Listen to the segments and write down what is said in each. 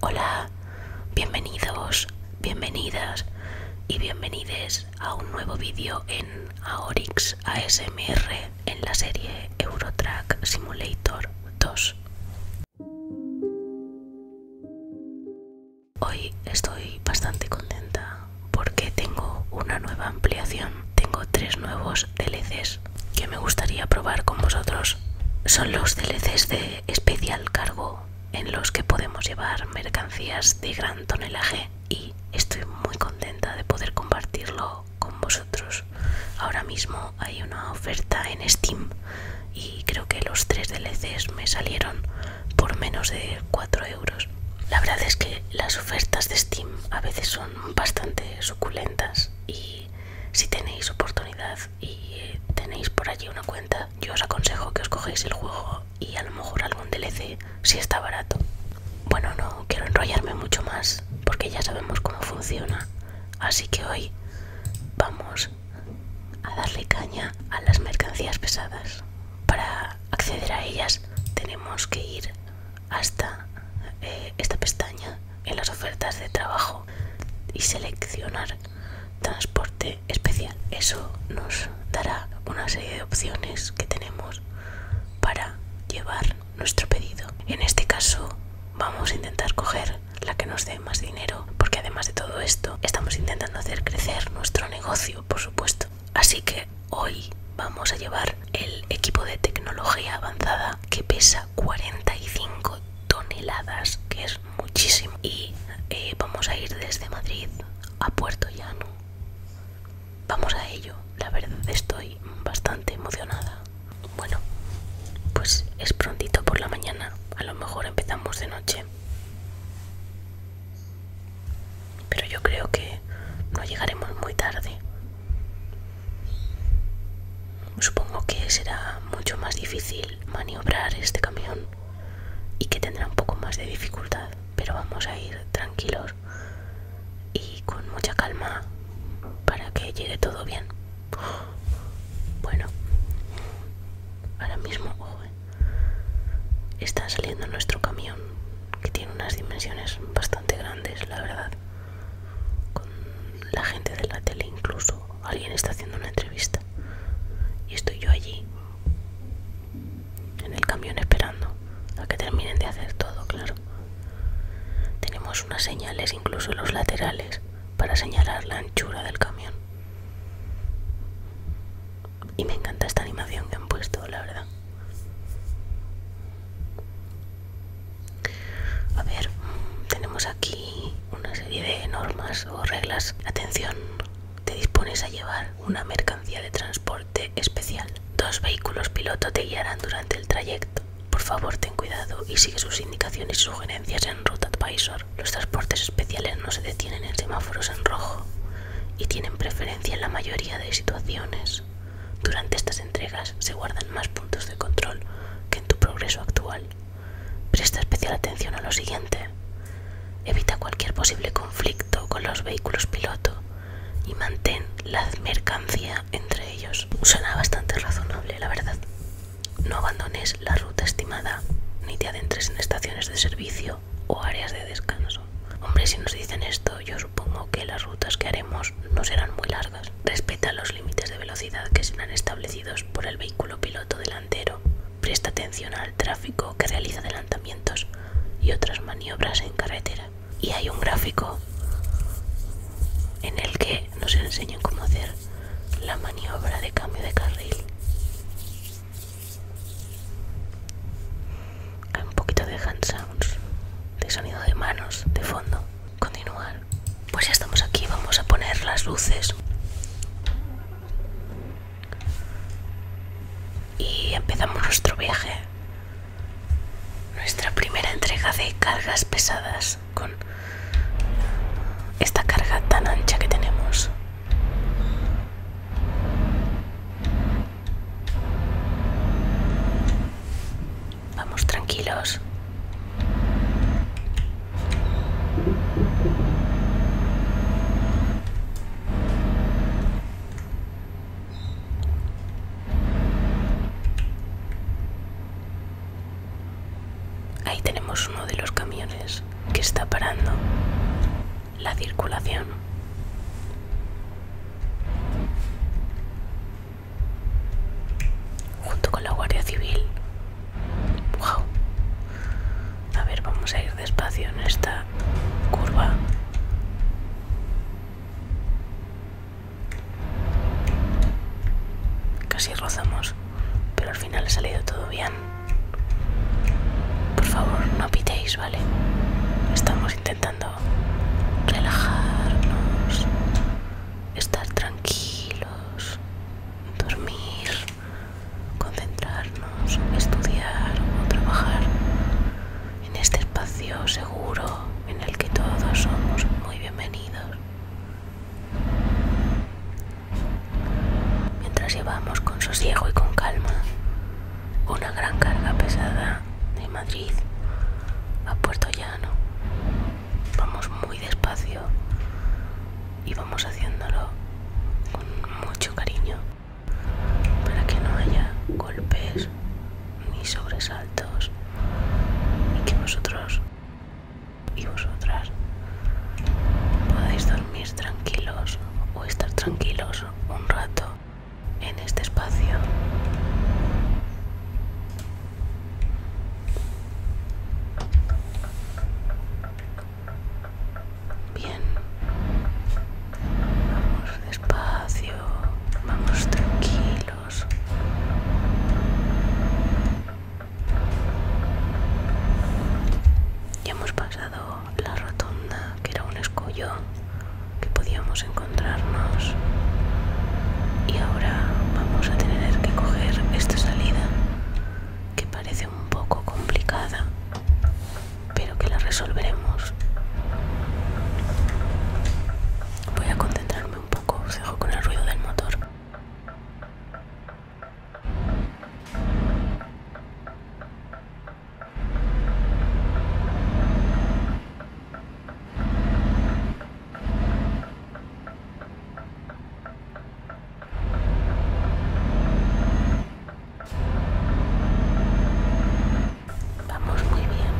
Hola, bienvenidos, bienvenidas y bienvenides a un nuevo vídeo en Aorix ASMR en la serie Eurotrack Simulator 2. Hoy estoy bastante contenta porque tengo una nueva ampliación, tengo tres nuevos DLCs que me gustaría probar con vosotros. Son los DLCs de especial cargo en los que podemos llevar mercancías de gran tonelaje y estoy muy contenta de poder compartirlo con vosotros. Ahora mismo hay una oferta en Steam y creo que los tres DLCs me salieron por menos de 4 euros. La verdad es que las ofertas de Steam a veces son bastante suculentas y si tenéis oportunidad y tenéis por allí una cuenta, yo os aconsejo que os cogéis el juego y a lo mejor algún DLC si está barato. Bueno, no quiero enrollarme mucho más porque ya sabemos cómo funciona, así que hoy vamos a darle caña a las mercancías pesadas. Para acceder a ellas tenemos que ir hasta eh, esta pestaña en las ofertas de trabajo y seleccionar transporte especial. Eso nos dará una serie de opciones que tenemos para llevar nuestro pedido. En este caso vamos a intentar coger la que nos dé más dinero porque además de todo esto estamos intentando hacer crecer nuestro negocio, por supuesto. Así que hoy vamos a llevar el equipo de tecnología avanzada que pesa 45 toneladas, que es muchísimo y eh, vamos a ir desde Madrid a Puerto Llano. Vamos a ello, la verdad estoy bastante emocionada. Bueno, pues es prontito por la mañana, a lo mejor empezamos de noche. Pero yo creo que no llegaremos muy tarde. Supongo que será mucho más difícil maniobrar este camión y que tendrá un poco más de dificultad, pero vamos a ir tranquilos y con mucha calma para que llegue todo bien. Bueno, ahora mismo eh, está saliendo nuestro camión que tiene unas dimensiones bastante grandes, la verdad con la gente de la tele incluso alguien está haciendo una entrevista y estoy yo allí en el camión esperando a que terminen de hacer todo claro tenemos unas señales incluso en los laterales para señalar la anchura del camión y me encanta esta animación que han puesto la verdad a ver, tenemos aquí una serie de normas o reglas. Atención, te dispones a llevar una mercancía de transporte especial. Dos vehículos piloto te guiarán durante el trayecto. Por favor, ten cuidado y sigue sus indicaciones y sugerencias en Route Advisor. Los transportes especiales no se detienen en semáforos en rojo y tienen preferencia en la mayoría de situaciones. Durante estas entregas se guardan más puntos de control que en tu progreso actual. Presta especial atención a lo siguiente. Evita cualquier posible conflicto con los vehículos piloto y mantén la mercancía entre ellos. Suena bastante razonable, la verdad. No abandones la ruta estimada ni te adentres en estaciones de servicio o áreas de descanso. Hombre, si nos dicen esto, yo supongo que las rutas que haremos no serán muy largas Respeta los límites de velocidad que serán establecidos por el vehículo piloto delantero. Presta atención al tráfico que realiza adelantamientos y otras maniobras en carretera. Y hay un gráfico en el que nos enseñan cómo hacer la maniobra de cambio de carril. Hay un poquito de hand sounds, de sonido de manos, de fondo continuar pues ya estamos aquí vamos a poner las luces y empezamos nuestro viaje nuestra primera entrega de cargas pesadas con esta carga tan ancha que tenemos Vamos tranquilos. Ahí tenemos uno de los camiones que está parando la circulación junto con la Guardia Civil. ¡Wow! A ver, vamos a ir despacio en esta curva. Casi rozamos, pero al final ha salido todo bien. Por favor, no pitéis, ¿vale? Estamos intentando relajarnos, estar tranquilos dormir, concentrarnos, estudiar o trabajar en este espacio seguro en el que todos somos muy bienvenidos. Mientras llevamos con sosiego y con calma una gran carga pesada de Madrid a Puerto Llano vamos muy despacio y vamos haciéndolo con mucho cariño para que no haya golpes ni sobresaltos y que vosotros y vosotras podáis dormir tranquilos o estar tranquilos un rato en este espacio Bien. Vamos despacio. Vamos tranquilos. Ya hemos pasado la rotonda, que era un escollo que podíamos encontrarnos y ahora vamos a tener que coger esta salida que parece un poco complicada pero que la resolveremos voy a concentrarme un poco os dejo con el ruido del motor Vamos muy bien.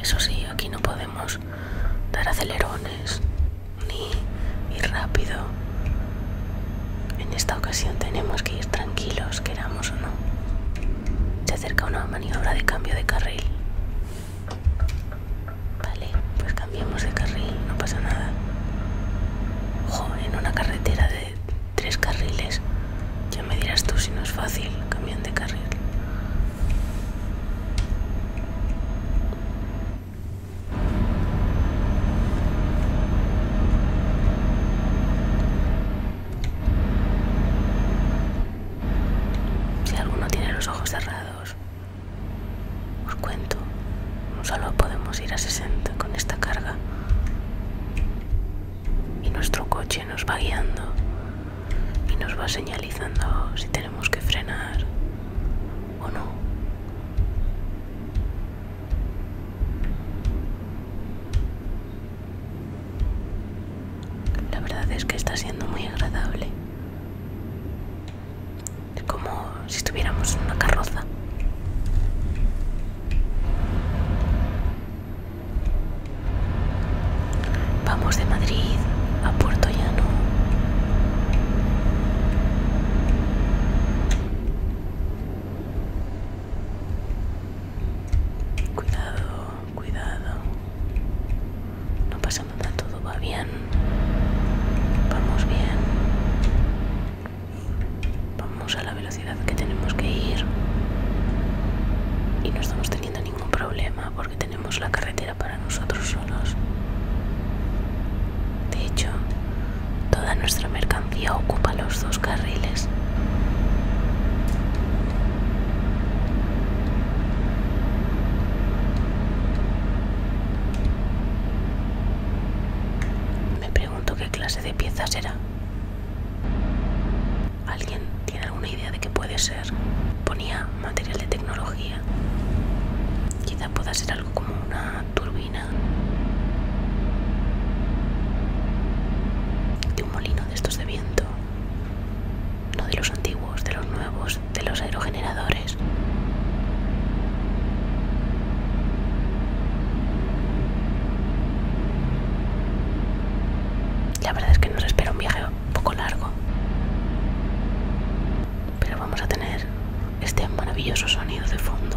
Eso sí, aquí no podemos dar acelerones ni ir rápido. En esta ocasión tenemos que ir tranquilos, queramos o no. Se acerca una maniobra de cambio de carril. Vale, pues cambiamos de carril, no pasa nada. Ojo, en una carretera de tres carriles, ya me dirás tú si no es fácil cambiar de carril. Si alguno tiene los ojos cerrados, os cuento, solo podemos ir a 60 con esta carga. Y nuestro coche nos va guiando y nos va señalizando si tenemos que frenar ¿O no? La verdad es que está siendo muy agradable. como si estuviéramos en una carroza. Vamos de Madrid a Puerto Llano. Cuidado, cuidado. No pasa nada, todo va bien. Vamos bien. Vamos a la velocidad que tenemos que ir. Y no estamos teniendo ningún problema porque tenemos tenemos la carretera para nosotros solos. De hecho, toda nuestra mercancía ocupa los dos carriles. Me pregunto qué clase de piezas era. ¿Alguien tiene alguna idea de qué puede ser? Ponía material de tecnología. Quizá pueda ser algo como una turbina de un molino de estos de viento. No de los antiguos, de los nuevos, de los aerogeneradores. La verdad es que nos espera un viaje un poco largo. Pero vamos a tener este maravilloso sonido de fondo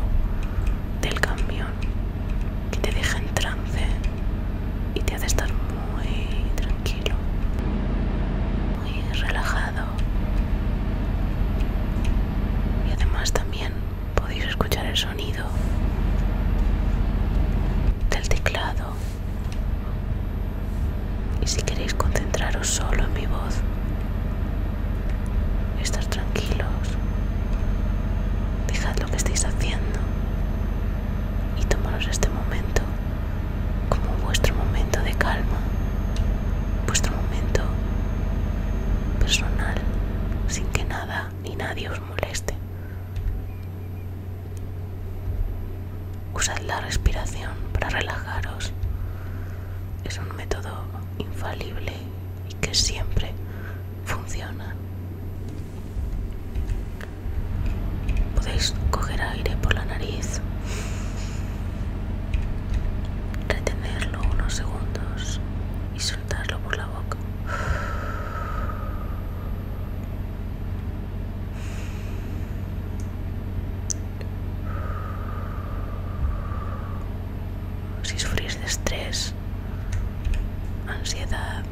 del camión que te deja en trance y te hace estar muy tranquilo, muy relajado. Y además también podéis escuchar el sonido del teclado y si queréis concentraros solo en mi voz, estar tranquilos, dejad lo que estáis haciendo y tomaros este momento como vuestro momento de calma, vuestro momento personal, sin que nada ni nadie os moleste. Usad la respiración para relajaros. Es un método infalible y que siempre funciona. Podéis coger aire por la nariz, retenerlo unos segundos y soltarlo por la boca si sufrís de estrés, ansiedad,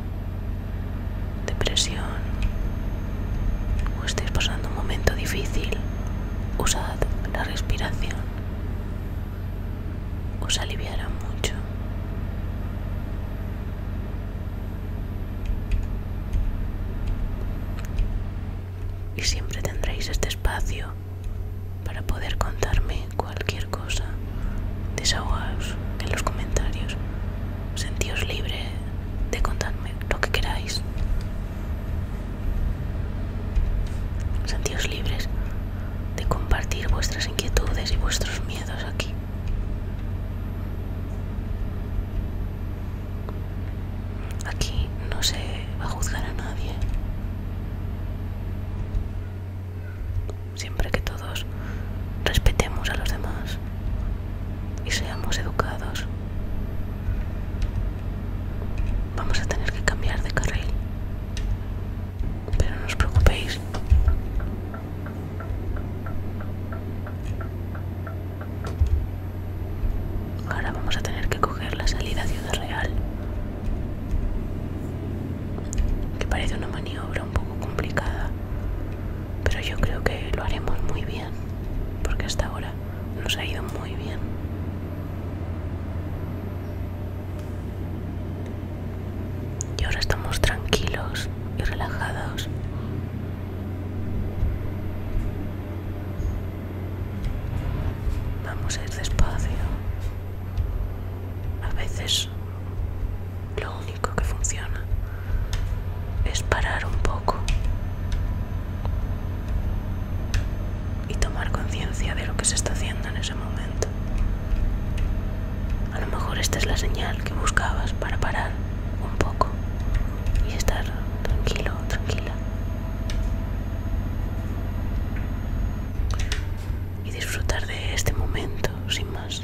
depresión o estáis pasando un momento difícil, usad la respiración. Os aliviará mucho. Y siempre tendréis este espacio para poder contarme cualquier cosa. Desahogaos en los comentarios. Sentíos libres de contarme lo que queráis. Sentíos libres de compartir vuestras inquietudes y vuestros miedos aquí. Aquí no se va a juzgar a nadie. Siempre que todos respetemos a los demás y seamos educados, vamos a tener que cambiar de carril. Pero no os preocupéis. Ahora vamos a tener que coger la salida a Ciudad Real. Que parece una maniobra un poco complicada. Pero yo creo que lo haremos muy bien. Porque hasta ahora nos ha ido muy bien. Y ahora estamos tranquilos y relajados Vamos a ir despacio. A veces lo único que funciona es parar un poco y tomar conciencia de lo que se está haciendo en ese momento. A lo mejor esta es la señal que buscabas para parar un poco y estar tranquilo, tranquila. Y disfrutar de este momento, sin más.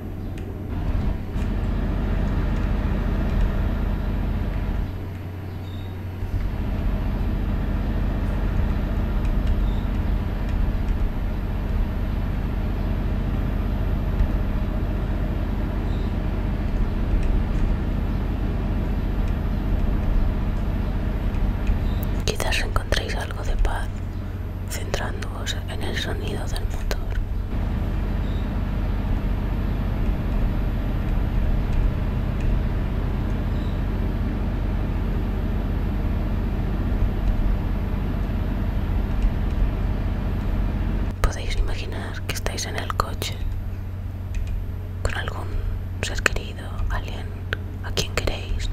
Quizás encontréis algo de paz centrando en el sonido del motor. Podéis imaginar que estáis en el coche con algún ser querido, alguien a quien queréis,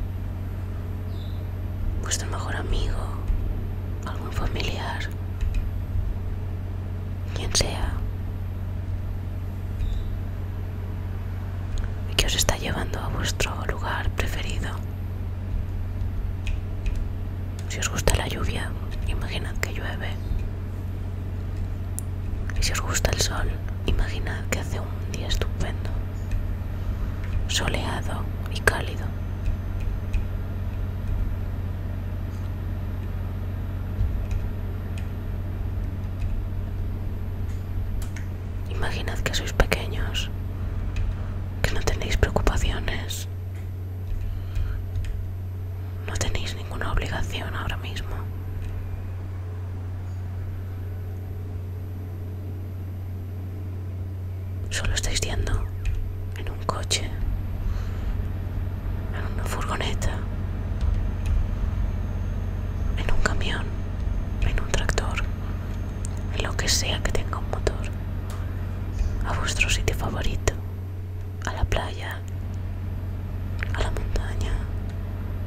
vuestro mejor amigo, algún familiar quien sea que os está llevando a vuestro lugar preferido. Si os gusta la lluvia, imaginad que llueve. Y si os gusta el sol, imaginad que hace un día estupendo, soleado y cálido. Imaginad que sois pequeños, que no tenéis preocupaciones, no tenéis ninguna obligación ahora mismo. Solo estáis yendo en un coche, en una furgoneta, en un camión, en un tractor, en lo que sea que tenga un motor, a vuestro sitio favorito, a la playa, a la montaña,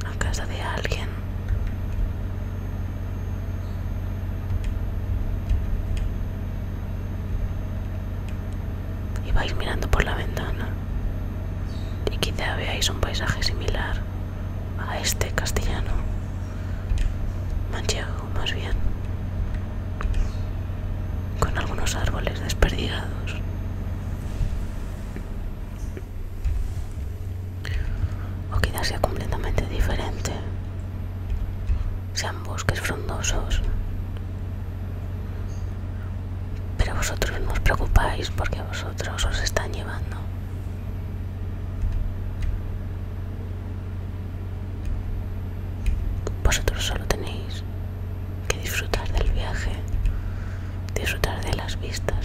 a casa de alguien. Y vais mirando por la ventana. Y quizá veáis un paisaje similar a este castellano. Manchego, más bien. Con algunos árboles desperdigados. O quizás sea completamente diferente bosques frondosos. Pero vosotros no os preocupáis porque vosotros os están llevando. Vosotros solo tenéis que disfrutar del viaje, disfrutar de las vistas.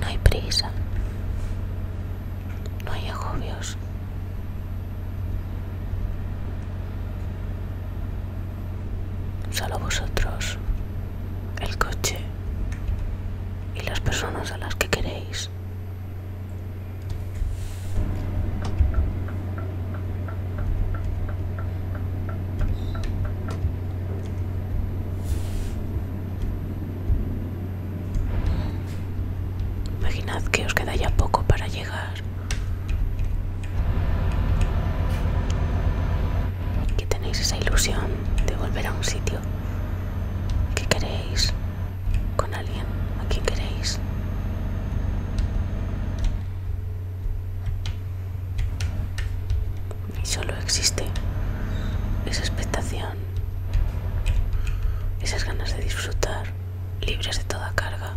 No hay prisa. No hay agobios. Solo vosotros, el coche y las personas a las que queréis. Imaginad que os queda ya poco para llegar. Que tenéis esa ilusión de volver a un sitio que queréis, con alguien a quien queréis y solo existe esa expectación, esas ganas de disfrutar, libres de toda carga.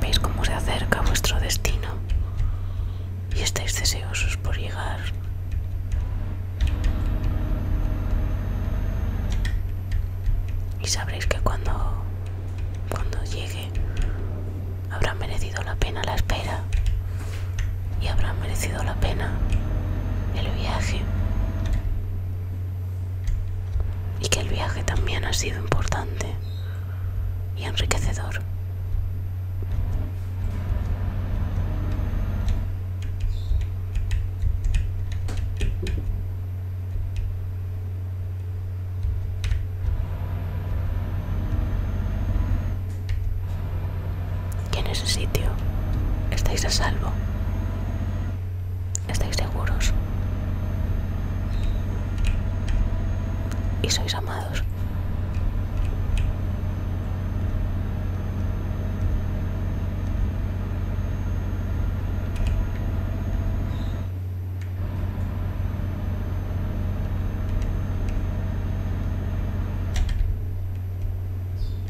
Veis cómo se acerca vuestro destino y estáis deseosos por llegar. Y sabréis que cuando, cuando llegue habrá merecido la pena la espera y habrá merecido la pena el viaje y que el viaje también ha sido importante y enriquecedor. Que en ese sitio estáis a salvo estáis seguros y sois amados.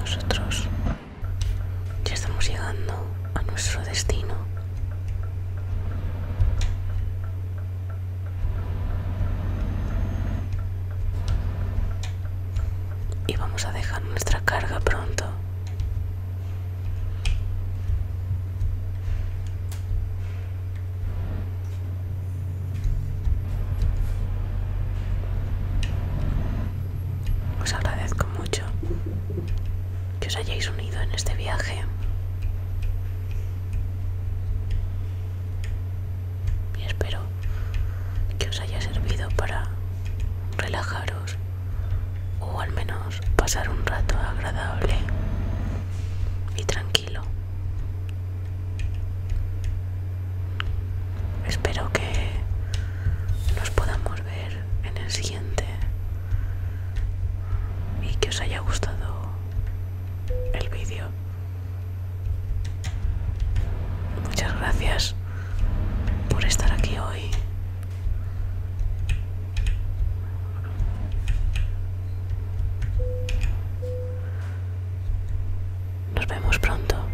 Nosotros ya estamos llegando a nuestro destino y vamos a dejar nuestra carga pronto os agradezco mucho que os hayáis unido en este viaje. Y espero que os haya servido para relajaros o al menos pasar un rato agradable y tranquilo. Espero que nos podamos ver en el siguiente y que os haya gustado el vídeo. Muchas gracias por estar aquí hoy. Nos vemos pronto.